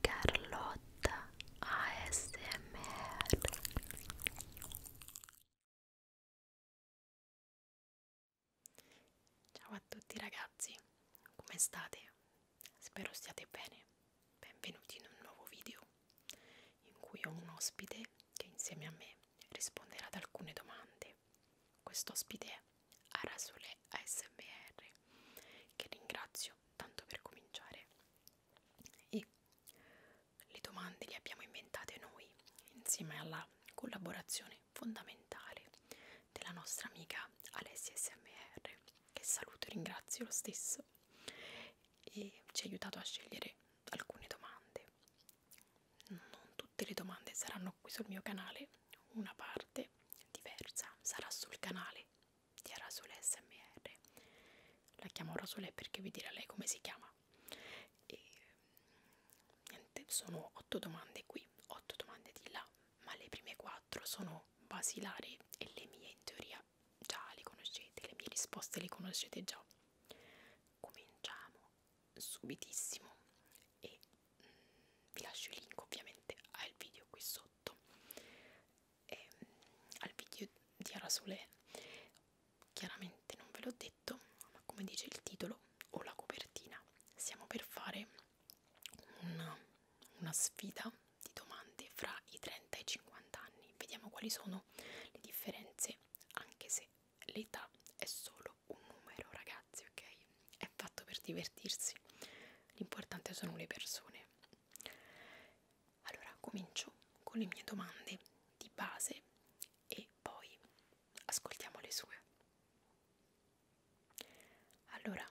Carlotta ASMR Ciao a tutti ragazzi, come state? Spero stiate bene. Benvenuti in un nuovo video in cui ho un ospite che insieme a me risponderà ad alcune domande. Quest'ospite è Arasole ASMR, che ringrazio tanto per cominciare. E le domande le abbiamo inventate noi, insieme alla collaborazione fondamentale della nostra amica Alessia SMR, che saluto e ringrazio lo stesso, e ci ha aiutato a scegliere alcune domande non tutte le domande saranno qui sul mio canale, una parte diversa sarà sul canale di Arasole SMR. La chiamo Arasole perché vi dirà lei come si chiama. E niente, sono otto domande qui, otto domande di là, ma le prime quattro sono basilari e le mie in teoria già le conoscete, le mie risposte le conoscete già. Cominciamo subitissimo e mh, mm, vi lascio il link ovviamente al video qui sotto e, mh, mm, al video di Arasole chiaramente non ve l'ho detto ma come dice il titolo o la copertina siamo per fare una, una sfida di domande fra i 30 e i 50 anni vediamo quali sono le differenze anche se l'età è solo un numero ragazzi ok è fatto per divertirsi l'importante sono le persone allora comincio con le mie domande di base e poi ascoltiamo le sue allora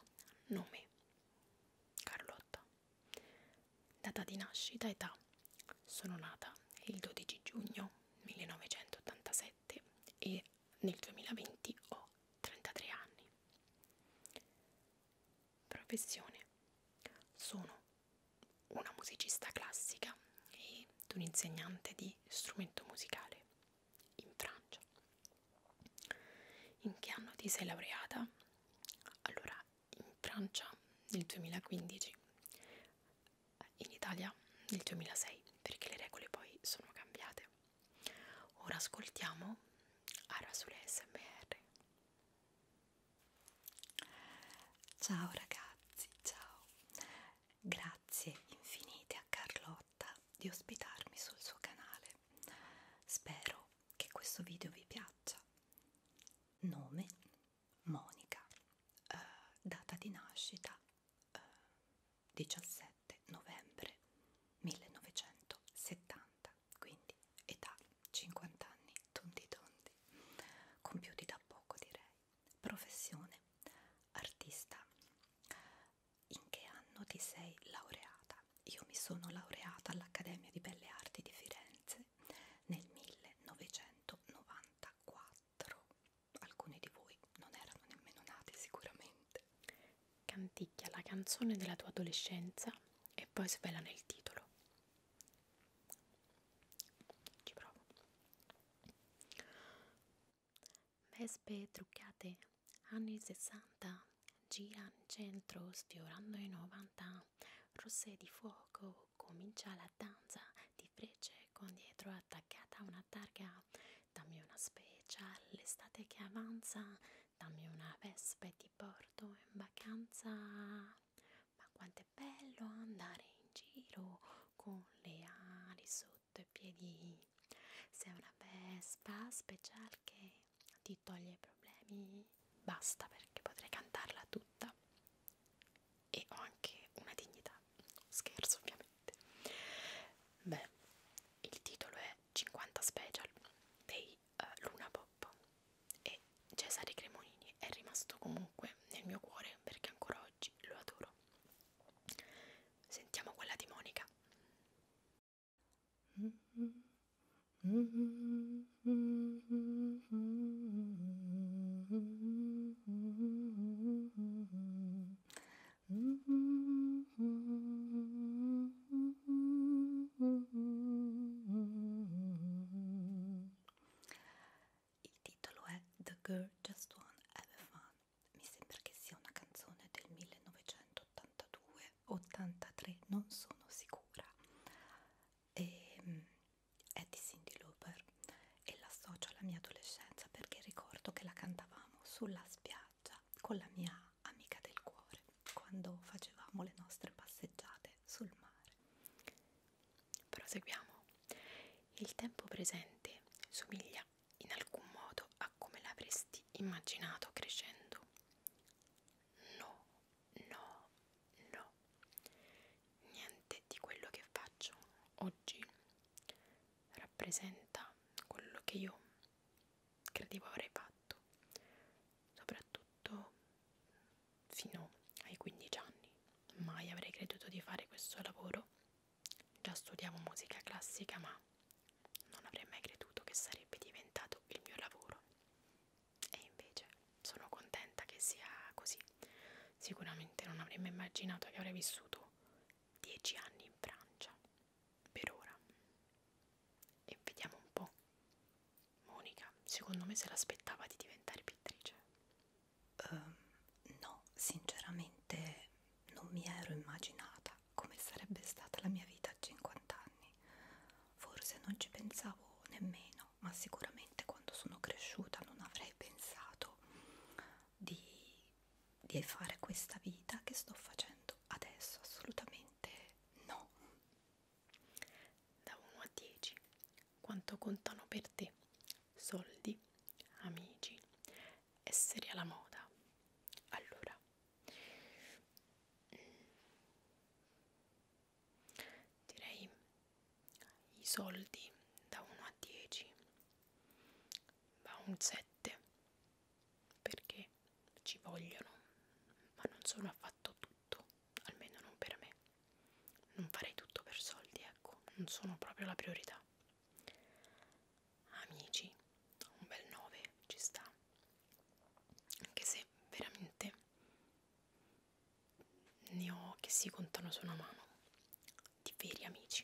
nome Carlotta data di nascita età sono nata il 12 giugno 1987 e nel 2020 ho 33 anni. Professione. Sono una musicista classica ed un insegnante di strumento musicale in Francia. In che anno ti sei laureata? Allora, in Francia nel 2015 in Italia nel 2006 perché le regole poi sono cambiate. Ora ascoltiamo Ara sulle SMR. Ciao ragazzi, ciao. Grazie infinite a Carlotta di ospitarmi sul suo canale. Spero che questo video vi piaccia. Nome Monica, eh, data di nascita eh, 17 novembre 1970, quindi età 50 anni tondi tondi, compiuti da poco direi. Professione artista. In che anno ti sei laureata? Io mi sono laureata all'Accademia di Belle Arti di Firenze nel 1994 alcuni di voi non erano nemmeno nati sicuramente. Canticchia la canzone della tua adolescenza e poi svela nel titolo. Ci provo. Vespe truccate, anni 60, gira in centro sfiorando i 90, rosse di fuoco, comincia la danza di frecce con dietro attaccata una targa dammi una special l'estate che avanza dammi una vespa e ti porto in vacanza ma quanto è bello andare in giro con le ali sotto i piedi sei una vespa special che ti toglie i problemi basta perché potrei cantarla tutta e ho anche una dignità, scherzo ovviamente. Beh, il titolo è 50 special dei uh, Luna Pop e Cesare Cremonini è rimasto comunque nel mio cuore perché ancora oggi lo adoro. Sentiamo quella di Monica. Mm-hmm. Mm-hmm. Mm-hmm. Il titolo è The Girl Just One Have Fun. Mi sembra che sia una canzone del 1982-83, non sono sicura. E, ehm, è di Cindy Lauper e l'associo alla mia adolescenza perché ricordo che la cantavamo sulla spiaggia con la mia amica del cuore quando facevamo le nostre passeggiate sul mare. Proseguiamo. Il tempo presente somiglia in alcun modo a come l'avresti immaginato crescendo. No, no, no. Niente di quello che faccio oggi rappresenta quello che io credevo avrei fatto, soprattutto fino ai 15 anni. Mai avrei creduto di fare questo lavoro. Già studiavo musica classica, ma non avrei mai creduto che sarebbe diventato il mio lavoro. E invece sono contenta che sia così. Sicuramente non avrei mai immaginato che avrei vissuto 10 anni in Francia per ora e vediamo un po' Monica secondo me se l'aspettava di diventare pittrice um, no sinceramente non mi ero immaginata come sarebbe stata la mia vita a 50 anni forse non ci pensavo nemmeno ma sicuramente quando sono cresciuta non avrei pensato di di fare questa vita che sto facendo adesso assolutamente no da 1 a 10 quanto contano per te soldi amici essere alla moda allora mm, direi i soldi da 1 a 10 va un 7 perché ci vogliono, ma non sono affatto tutto, almeno non per me. Non farei tutto per soldi, ecco, non sono proprio la priorità. Amici, un bel 9 ci sta, anche se veramente ne ho che si contano su una mano di veri amici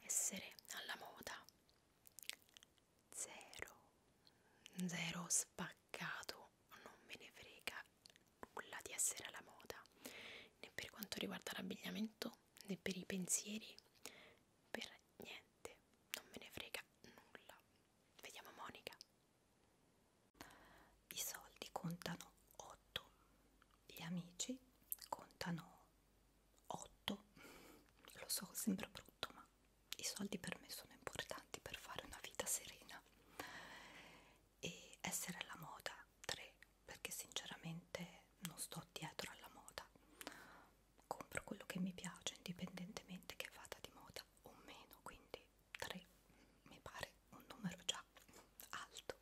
essere alla moda zero zero spaccato non me ne frega nulla di essere alla moda né per quanto riguarda l'abbigliamento né per i pensieri per niente non me ne frega nulla vediamo Monica i soldi contano 8 gli amici contano 8 lo so sembra brutto ma i soldi per me sono importanti per fare una vita serena e essere alla moda 3 perché sinceramente non sto dietro alla moda compro quello che mi piace indipendentemente che vada di moda o meno quindi 3 mi pare un numero già alto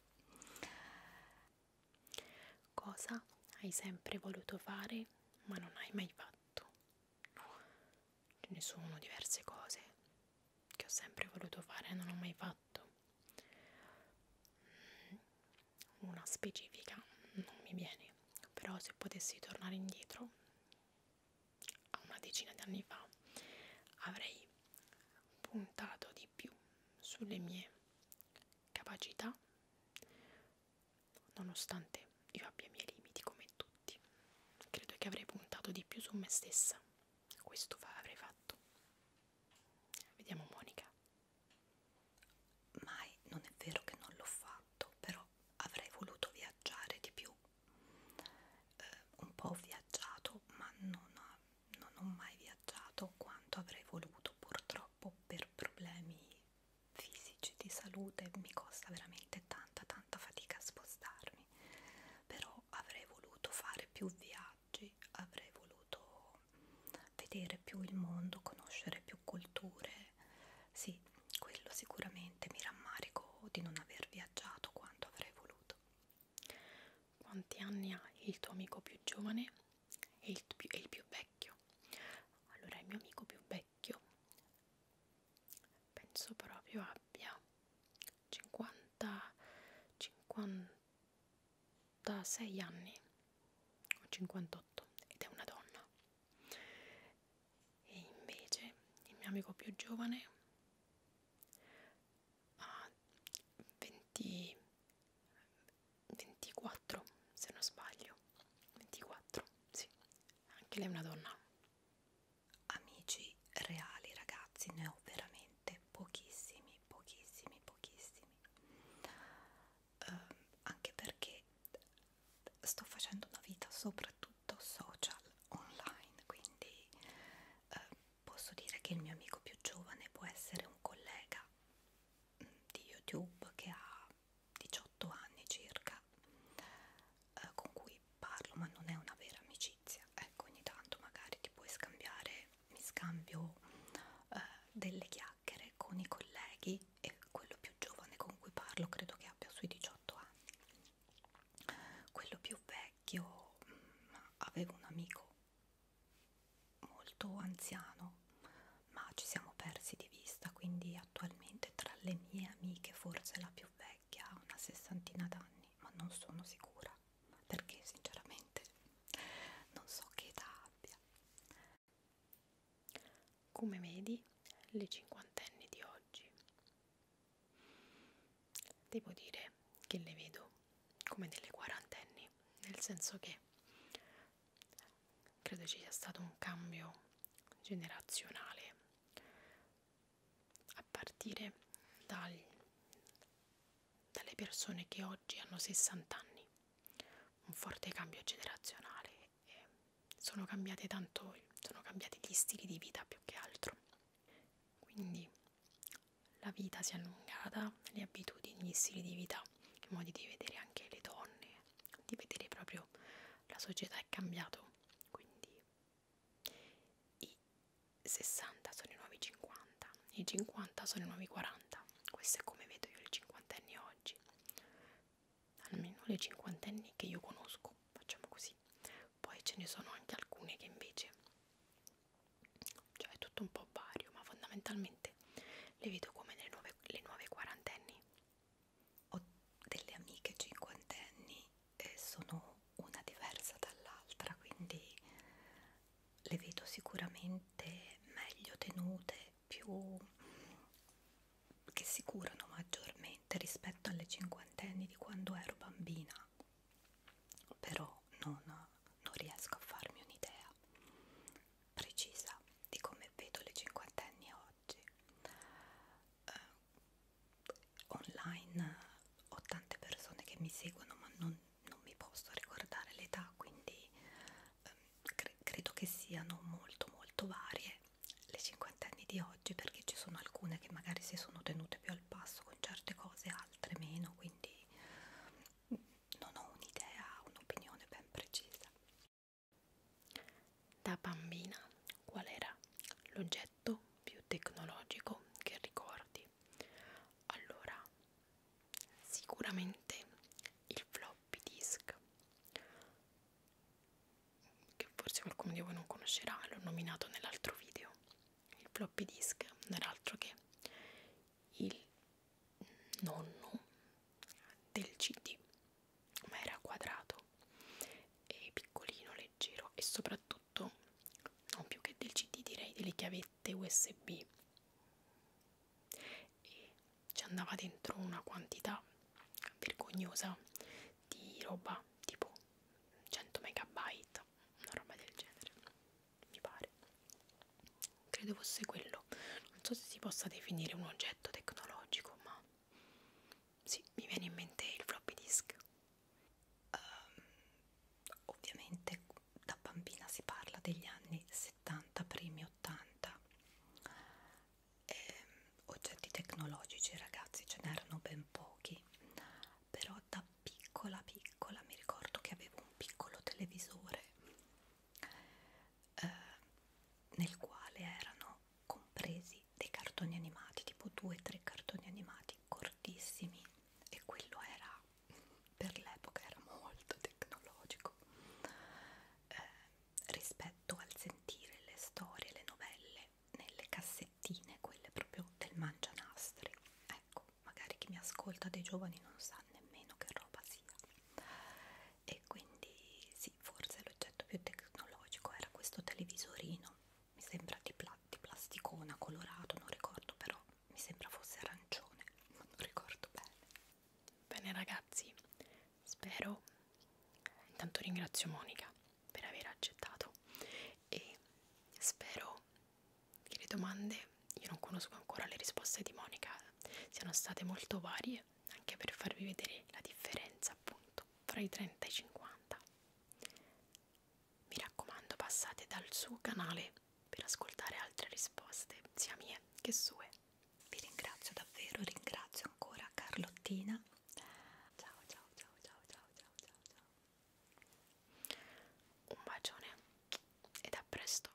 Cosa hai sempre voluto fare ma non hai mai fatto? Ce ne sono diverse cose che ho sempre voluto fare e non ho mai fatto. Mm, una specifica non mi viene, però se potessi tornare indietro a una decina di anni fa avrei puntato di di più sulle mie capacità, nonostante io abbia i miei limiti come tutti. Credo che avrei puntato di più su me stessa. Questo fa, avrei fatto. Vediamo Monica. Mai, non è vero che non l'ho fatto, però avrei voluto viaggiare di più. Eh, un po' ho viaggiato, ma non, non ho mai viaggiato quanto avrei voluto purtroppo per problemi fisici di salute mi costa veramente tanta tanta fatica a spostarmi però avrei voluto fare più viaggi avrei voluto vedere più il mondo conoscere più culture sì quello sicuramente mi rammarico di non aver viaggiato quanto avrei voluto quanti anni ha il tuo amico più giovane e il, più, e il più vecchio? Allora, il mio amico più vecchio penso proprio abbia 50, 56 anni o 58 ed è una donna. E invece il mio amico più giovane a 20, 24 se non sbaglio 24 sì anche lei è una donna amici reali ragazzi ne ho veramente pochissimi pochissimi pochissimi uh, anche perché sto facendo una vita soprattutto social online quindi uh, posso dire che il mio amico più giovane può essere un collega mm, di YouTube che ha 18 anni circa, eh, con cui parlo, ma non è una vera amicizia. Ecco, ogni tanto magari ti puoi scambiare, mi scambio eh, delle chiacchiere con i colleghi e quello più giovane con cui parlo credo che abbia sui 18 anni. Quello più vecchio mh, mm, avevo un amico molto anziano, ma ci siamo persi di vista, quindi attualmente tra le mie amiche forse la più vecchia ha una sessantina d'anni, ma non sono sicura, perché sinceramente non so che età abbia. Come vedi, le cinquantenni di oggi, devo dire che le vedo come delle quarantenni, nel senso che credo ci sia stato un cambio generazionale a partire dal, dalle persone che oggi hanno 60 anni, un forte cambio generazionale. E sono cambiate tanto, sono cambiati gli stili di vita più che altro. Quindi la vita si è allungata, le abitudini, gli stili di vita, i modi di vedere anche le donne, di vedere proprio la società è cambiato, quindi i 60 sono i nuovi 50, i 50 sono i nuovi 40, questo è come vedo io le cinquantenni oggi, almeno le cinquantenni che io conosco, facciamo così, poi ce ne sono anche alcune che invece cioè è tutto un po' vario ma fondamentalmente le vedo come le nuove, le nuove quarantenni ho delle amiche cinquantenni e sono una diversa dall'altra quindi le vedo sicuramente meglio tenute più che si curano maggiormente rispetto alle cinquantenni di quando ero bambina però no, non, non riesco a farmi un'idea precisa di come vedo le cinquantenni oggi. Eh, online ho tante persone che mi seguono, ma non, non mi posso ricordare l'età, quindi eh, cre credo che siano molto molto varie le cinquantenni di oggi perché ci sono alcune che magari si sono tenute più al passo con certe cose, altre meno, quindi non ho un'idea, un'opinione ben precisa. Da bambina, qual era l'oggetto più tecnologico che ricordi? Allora, sicuramente il floppy disk, che forse qualcuno di voi non conoscerà, l'ho nominato nell'altro video. Il floppy disk non era altro che il nonno del CD, ma era quadrato e piccolino, leggero e soprattutto non più che del CD direi delle chiavette USB e ci andava dentro una quantità vergognosa di roba tipo 100 megabyte, una roba del genere mi pare credo fosse quello non so se si possa definire un oggetto tecnologico ma sì, mi viene in mente il floppy disk um, ovviamente da bambina si parla degli anni 70 primi 80 e, ehm, oggetti tecnologici ragazzi ce n'erano ben pochi però da piccola piccola mi ricordo che avevo un piccolo televisore eh, nel quale erano compresi dei cartoni animati, tipo due o tre cartoni animati cortissimi e quello era per l'epoca era molto tecnologico eh, rispetto al sentire le storie, le novelle nelle cassettine, quelle proprio del mangianastri ecco magari chi mi ascolta dei giovani non sa nemmeno che roba sia e quindi sì forse l'oggetto più tecnologico era questo televisorino mi sembra di, pla di plasticona colorato non ricordo però mi sembra fosse arancione ma non ricordo bene bene ragazzi spero intanto ringrazio Monica per aver accettato e spero che le domande, io non conosco ancora le risposte di Monica, siano state molto varie, anche per farvi vedere la differenza appunto fra i 30 e i 50. Mi raccomando, passate dal suo canale per ascoltare altre risposte, sia mie che sue. Vi ringrazio davvero, ringrazio ancora Carlottina. Ciao ciao ciao ciao ciao ciao ciao ciao. Un bacione ed a presto.